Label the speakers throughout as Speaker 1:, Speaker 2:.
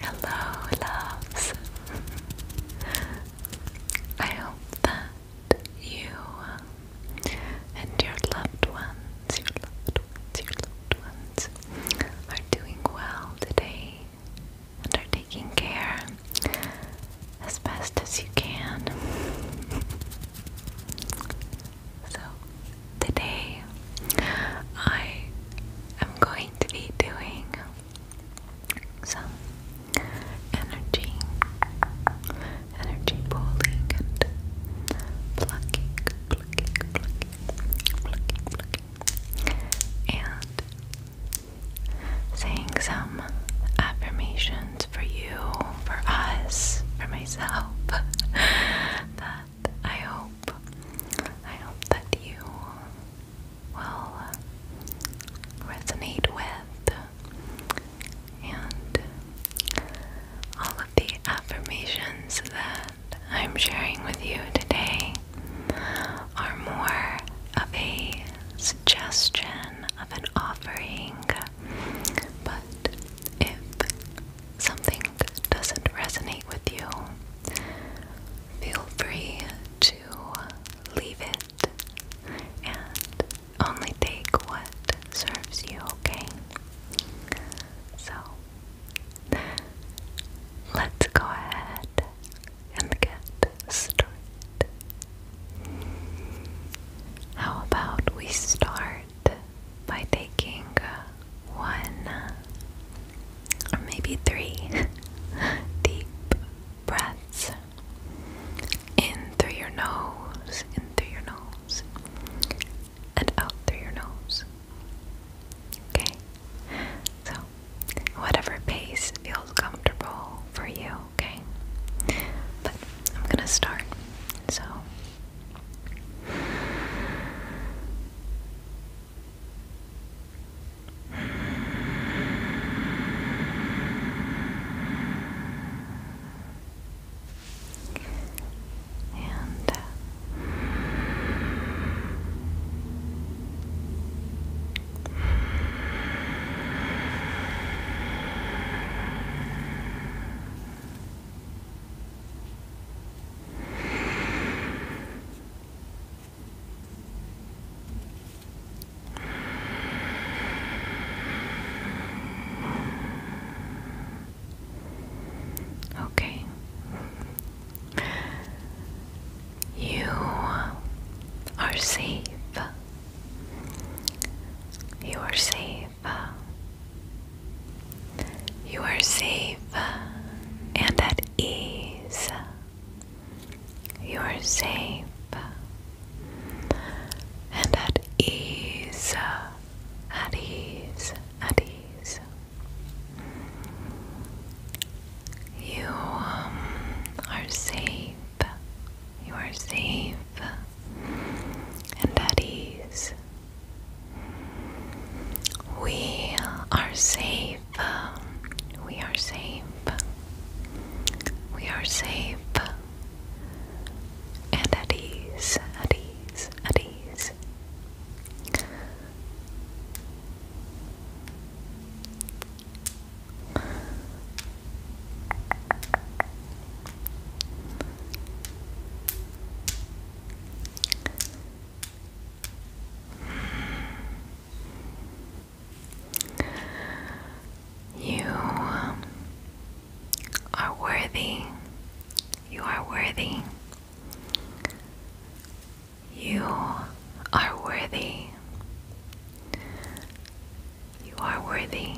Speaker 1: Hello, loves. I hope that you and your loved ones, your loved ones, your loved ones are doing well today and are taking care as best as you can. So, today I am going to be doing some energy energy pulling and plucking, plucking, plucking, plucking, plucking, and saying some affirmations for you, for us, for myself. that I hope, I hope that you will uh, resonate with. And all of the affirmations that I'm sharing with you today are more of a suggestion of an offering. But if something doesn't resonate with you, feel free to leave it and only take what serves you, okay? So let's go ahead and get started. How about we start by taking one or maybe three deep breaths in through your nose, in through your nose, and out through your nose. Okay? So, whatever pace feels comfortable for you, okay? But I'm gonna start. So, and Good. Uh, Okay. You are safe. You are safe. You are safe and at ease. You are safe and at ease at ease, at ease. You um, are safe, you are safe and at ease. We are safe, we are safe, we are safe and at ease, at ease, at ease. You are worthy you are worthy. You are worthy. You are worthy.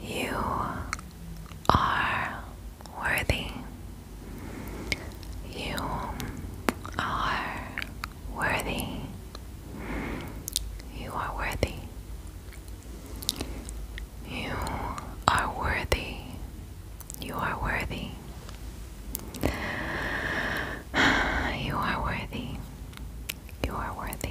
Speaker 1: You are worthy. You are worthy. You are worthy. You are worthy. You are worthy. You are worthy. You are worthy.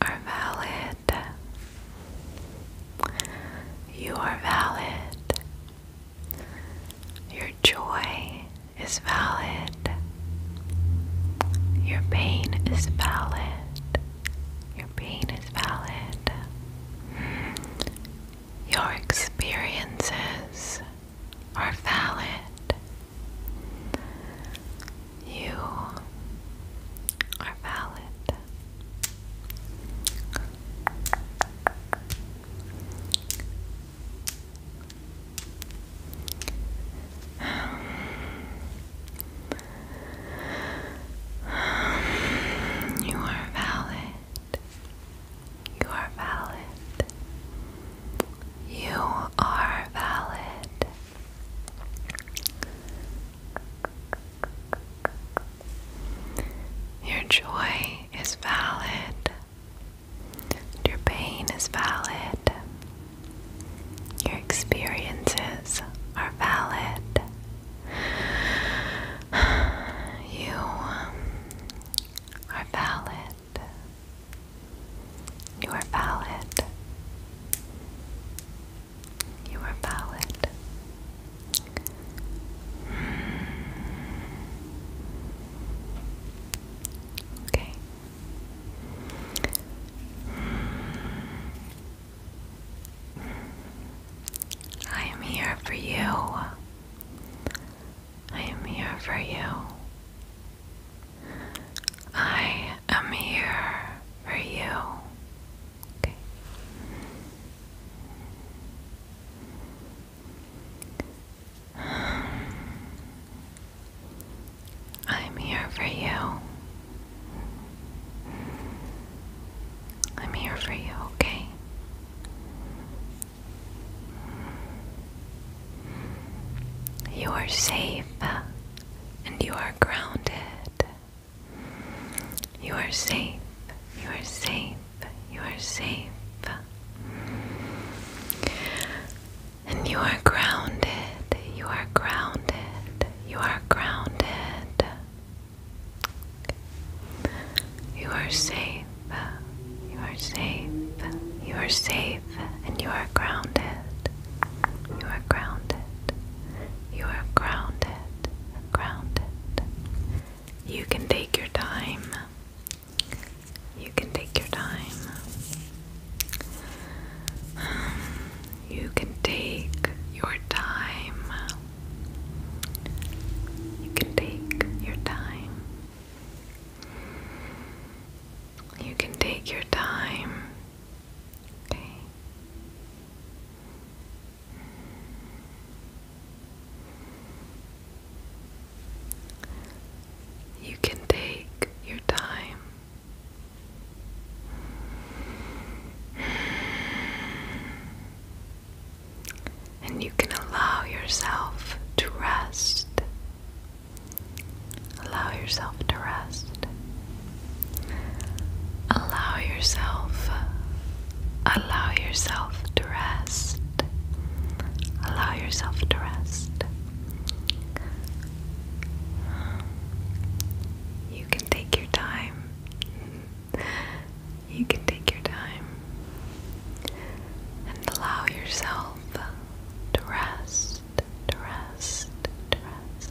Speaker 1: are valid. You are valid. Your joy is valid. Your pain is valid. Your pain is valid. Your experiences are valid. You are valid. You are valid. You are valid. You are valid. Your joy is valid. Your pain is valid. Your experiences are valid. You are valid. You are valid. You are valid. Okay. I am here for you. I am here for you. I am here for you. Okay. I'm here for you. I'm here for you, okay? You are safe and you are grounded you are safe. You are safe. You are safe. And you are grounded. You are grounded. You are grounded. You are safe. You are safe. You are safe and you are grounded. You are grounded. You are grounded, grounded. You can take your time. You can take your time. You can take your time. You can take your time. You can take your time. Okay. You can take your time. And you can allow yourself to rest. Allow yourself to rest. Allow yourself, allow yourself to rest. Allow yourself to rest. You can take your time. You can take your time and allow yourself to rest, to rest, to rest.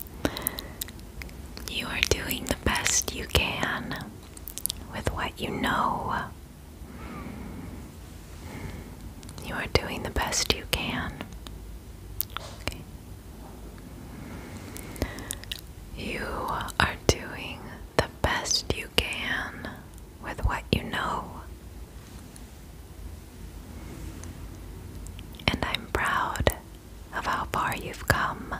Speaker 1: You are doing the best you can with what you know. You are doing the best you can. You are doing the best you can with what you know. And I'm proud of how far you've come.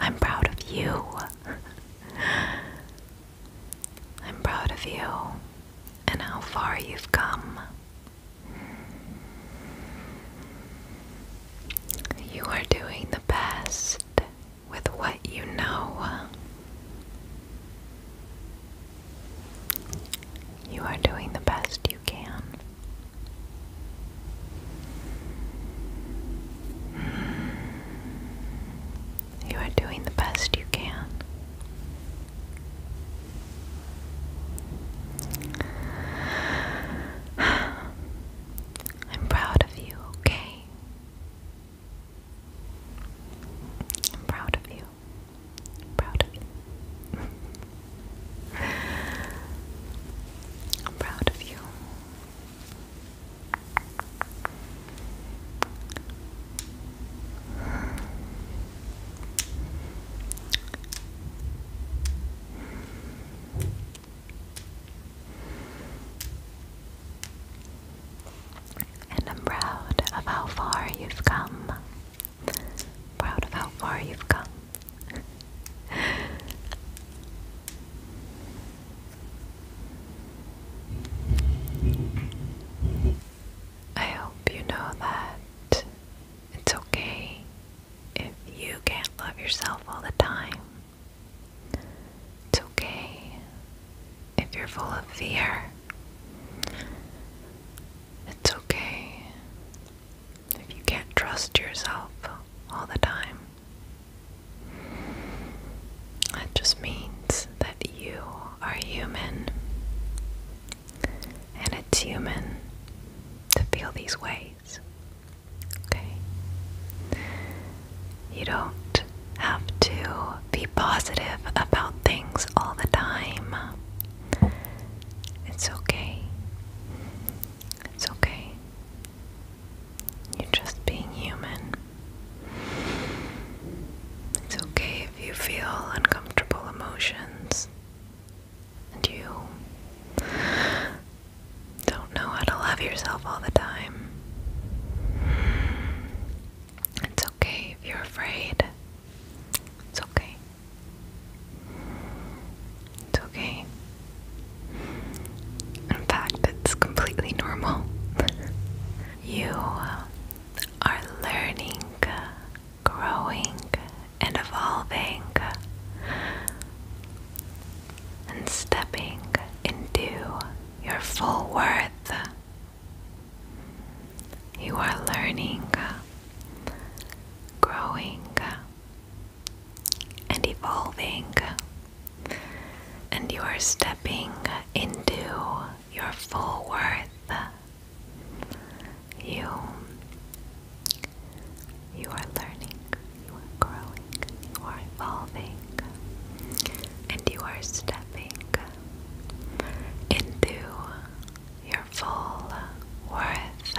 Speaker 1: I'm proud of you. I'm proud of you and how far you've come. You are doing the best with what you know. You are doing the best you can. You are doing the best you can. I'm proud of you, okay? I'm proud of you. proud I'm proud of you. And I'm proud of how far you've come. Proud of how far you've come. I hope you know that it's okay if you can't love yourself all the time. It's okay if you're full of fear. It's okay if you can't trust yourself all the time. That just means that you are human. And it's human to feel these ways. Okay? You don't have to be positive about things all the time. It's okay. It's okay. You're just being human. It's okay if you feel uncomfortable emotions and you don't know how to love yourself all the time. It's okay if you're afraid. It's okay. It's okay. In fact, it's completely normal. you are learning, growing, and evolving, and stepping into your full worth. You are learning, growing, and evolving, and you are stepping into your full worth. You, you are learning, you are growing, you are evolving, and you are stepping into your full worth.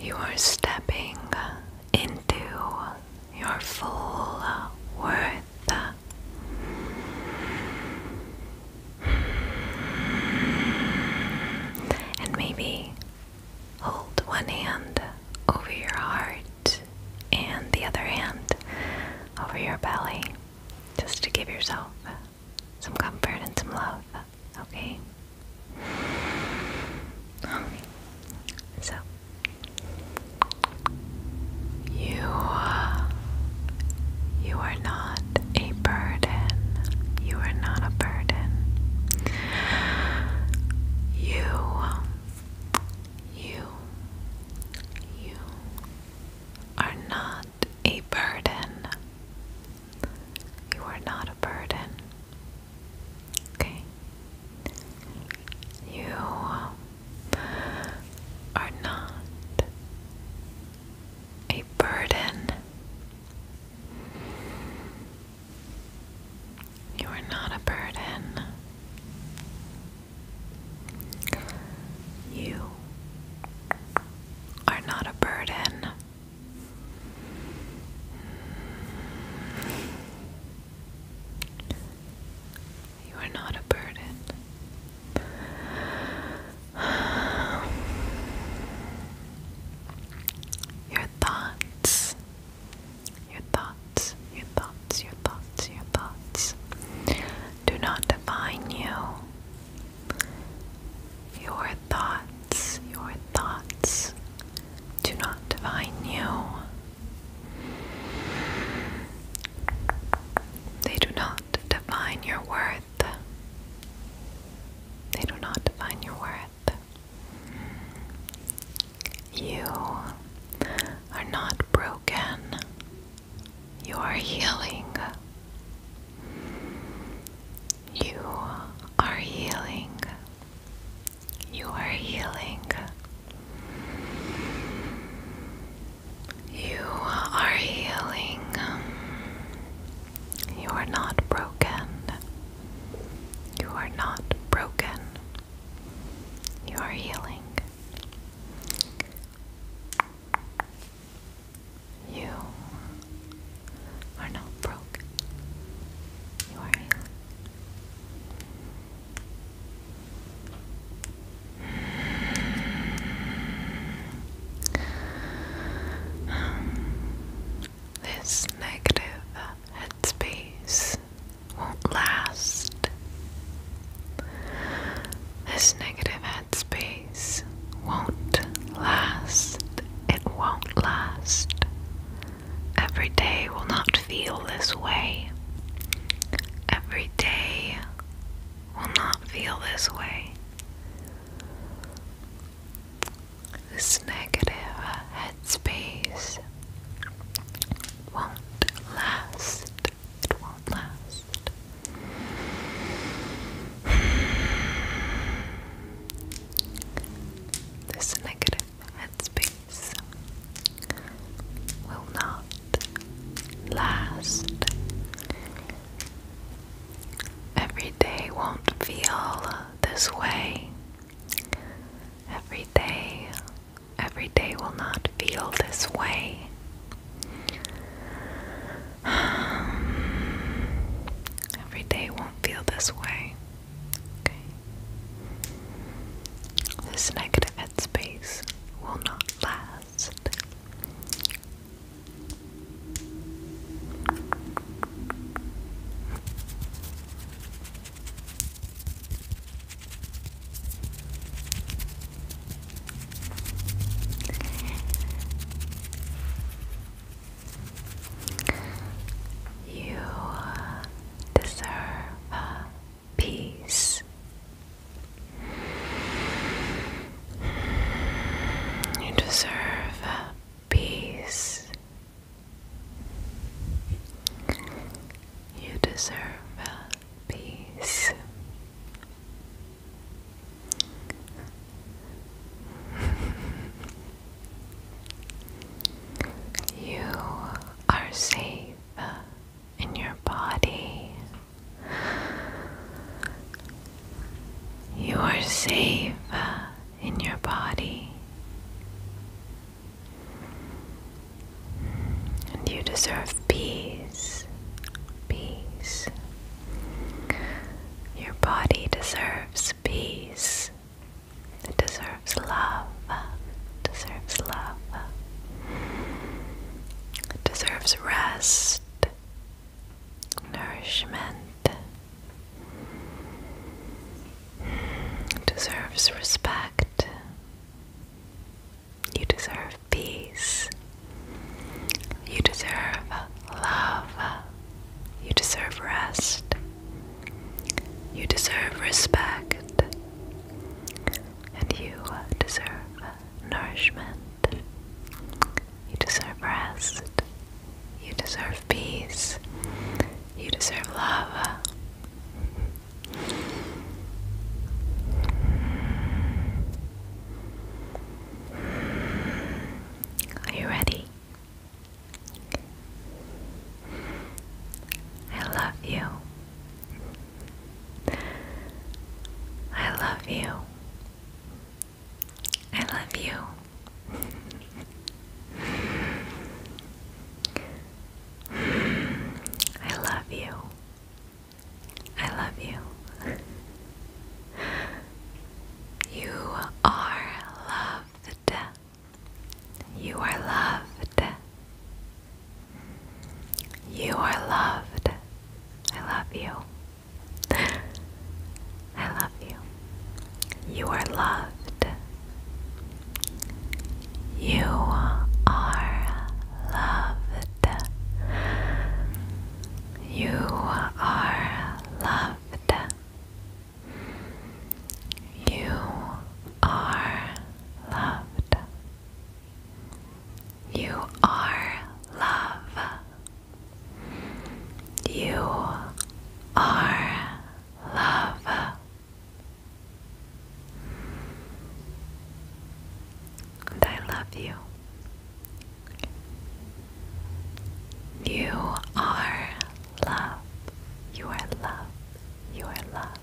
Speaker 1: You are stepping into your full worth. And maybe Hold one hand over your heart and the other hand over your belly just to give yourself some comfort and some love, okay? so you, you are not a burden. You are not a burden. You, you, you are not a burden. You are not a burden. Okay? You are not a burden. You are not a burden. You are not a burden. You are not a burden. Your thoughts your thoughts, your thoughts, your thoughts, your thoughts do not define you. Your thoughts, your thoughts do not define you. They do not define your worth. They do not define your worth. You are not broken. You are healing. You are healing. You are healing. You are healing. You are not broken. You are not broken. You are healing. You are not broken. You are healing. Um, this negative uh, headspace won't last. This negative headspace won't last. It won't last. Every day will not feel this way. Every day will not feel this way. This negative space won't last. It won't last. This negative headspace will not last. Every day won't feel this way. Every day, every day will not feel this way. every day won't feel this way. Okay. This negative headspace will not last. You uh, deserve uh, peace. You deserve uh, peace. You deserve peace. you are safe in your body. You are safe in your body. And you deserve peace. Peace. Your body deserves peace. It deserves love. It deserves love. It deserves rest, nourishment deserves respect. You deserve peace. You deserve love. You deserve rest. You deserve respect. And you deserve nourishment. You deserve rest. You deserve peace. You deserve love. Are you ready? I love you. I love you. I love you. I love you. I love you. You are loved. You are loved. You are loved. I love you. I love you. You are loved. You are loved. You are loved. You are loved. You are love. You are love. And I love you. You are love. You are love. You are love.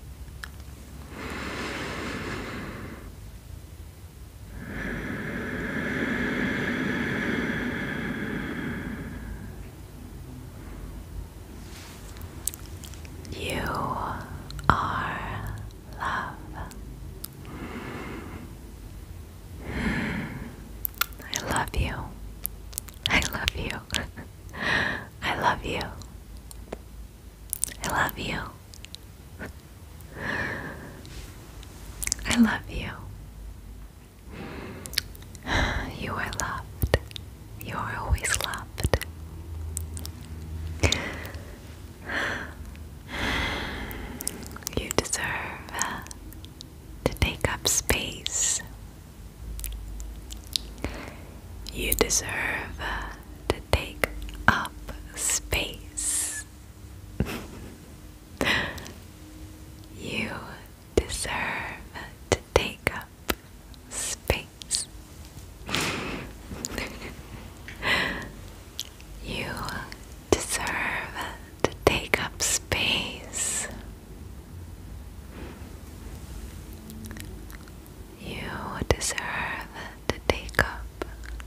Speaker 1: You are love. I love you. I love you. I love you. I love you. I love you. You are loved. You are always loved. You deserve uh, to take up space. You deserve uh, to take up space. you deserve to take space. you deserve to take up space. You deserve to take up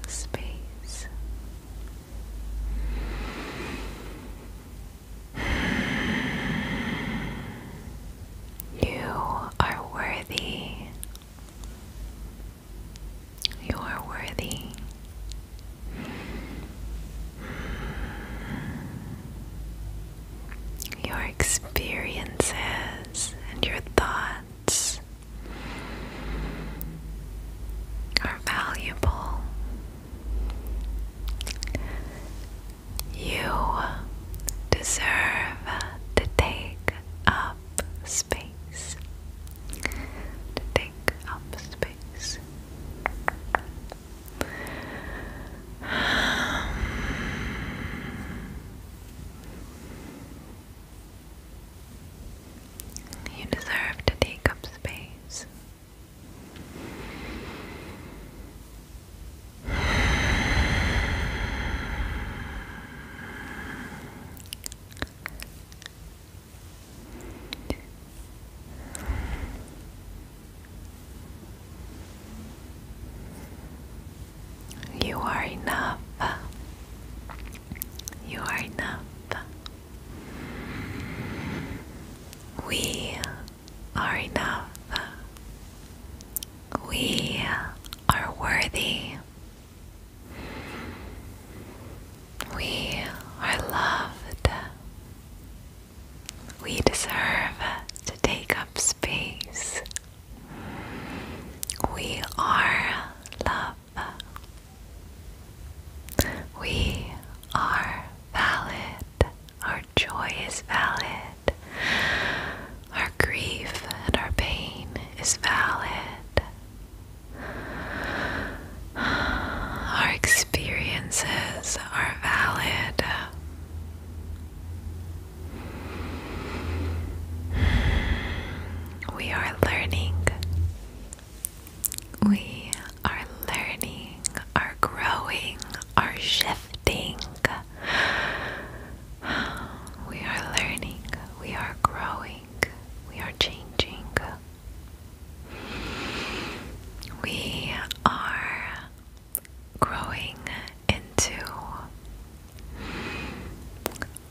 Speaker 1: space. You are worthy. You are worthy. Your experiences and your thoughts are valuable. You deserve to take up space. take up space. You deserve to take up space. You are enough. You are enough. We are enough. We are worthy. We are loved. We deserve to take up space. We are love. We are valid joy is valid. Our grief and our pain is valid. Our experiences are valid. We are learning. We are learning, are growing, are shifting. We are learning, we are growing, we are changing. We are growing into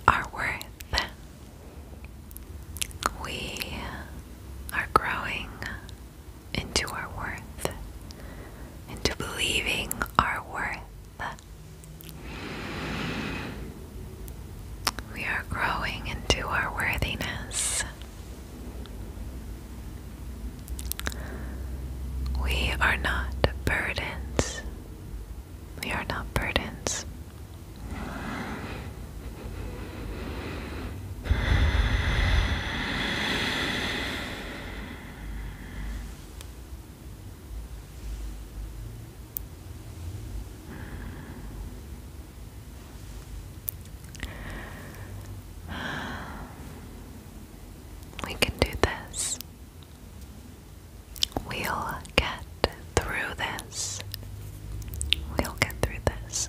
Speaker 1: our worth. We are growing into our worth into believing our worth. We are growing into our worthiness. We are not burdens. We are not burdens. We can do this. We'll get through this. We'll get through this.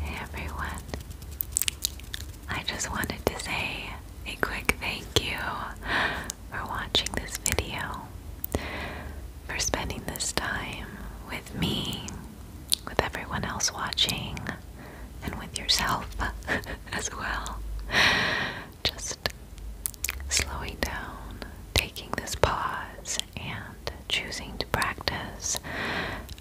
Speaker 1: Hey everyone, I just wanted to say a quick thank you for watching this video for spending this time with me, with everyone else watching, and with yourself as well. Just slowing down, taking this pause, and choosing to practice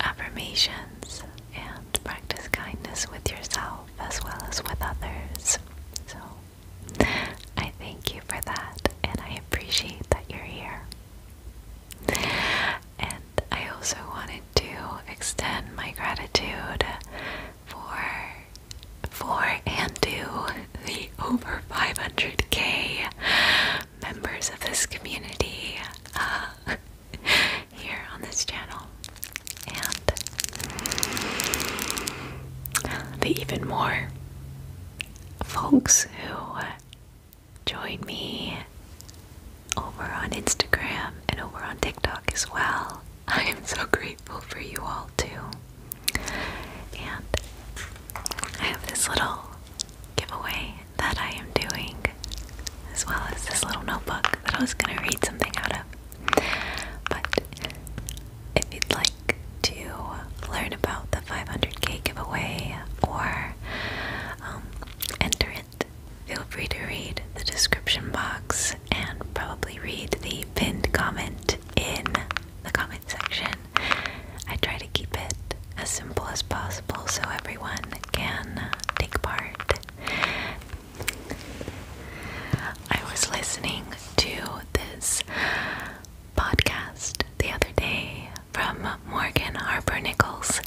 Speaker 1: affirmations and practice kindness with yourself as well as with others. So, I thank you for that and I appreciate that you're here. And I also wanted to extend my gratitude for for and to the over 500k members of this community uh, here on this channel and the even more folks who join me over on Instagram and over on TikTok as well. I am so grateful for you all too. And I have this little giveaway that I am doing, as well as this little notebook that I was going to read something out of. But if you'd like to learn about the 500k giveaway or um, enter it, feel free to read the description box and probably read the pinned comment in the comment section. I try to keep it as simple as possible so everyone can take part. I was listening to this podcast the other day from Morgan Harper Nichols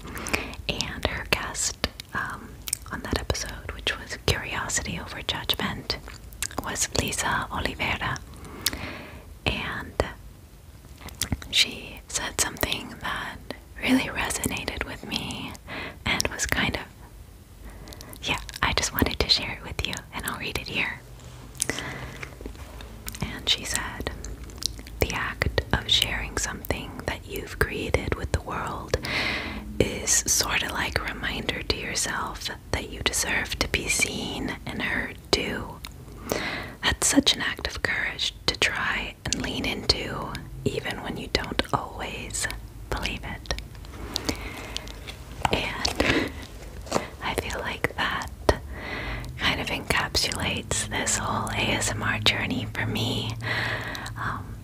Speaker 1: and her guest um, on that episode, which was Curiosity Over Judgment, was Lisa Oliveira. And she said something that really resonated with me and was kind of, yeah, I just wanted to share it with you and I'll read it here. And she said, The act of sharing something that you've created with the world is sort of like a reminder to yourself that you deserve to be seen and heard too. That's such an act of courage to try and lean into, even when you don't always believe it. And I feel like that kind of encapsulates this whole ASMR journey for me. Um,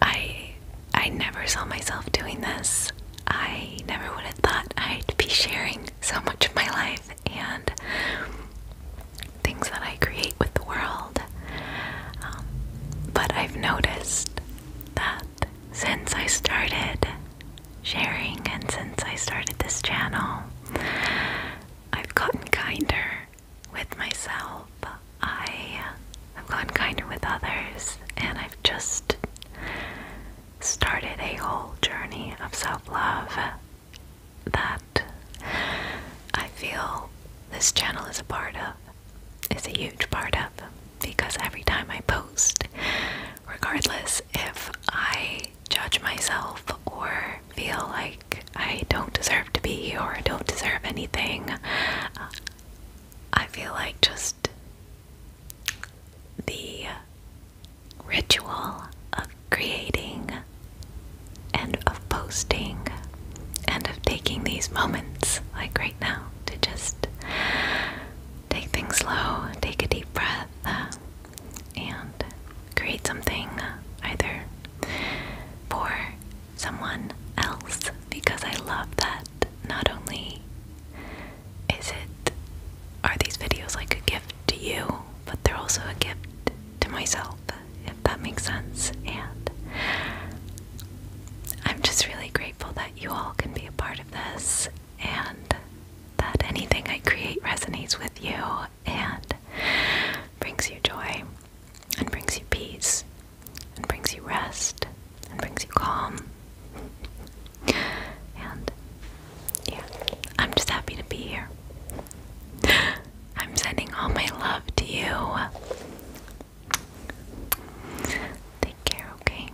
Speaker 1: I I never saw myself doing this. I never would have thought I'd be sharing so much of my life and things that I create with the world. Um, but I've noticed that since I started sharing and since I started this channel, I've gotten kinder with myself. I have gotten kinder with others, and I've just started a whole journey of self love that I feel this channel is a part of, is a huge part of, because every time I post, regardless if I judge myself or feel like I don't deserve to be or don't deserve anything, I feel like just the ritual of creating and of posting and of taking these moments, like right now, to just take things slow, take a deep breath and create something either for someone else because I love that not only is it are these videos like a gift to you, but they're also a gift to myself, if that makes sense. And I'm just really grateful that you all can be a part of this and that anything I create resonates with you and brings you joy and brings you peace and brings you rest and brings you calm. And yeah, I'm just happy to be here. I'm sending all my love to you. Take care, okay?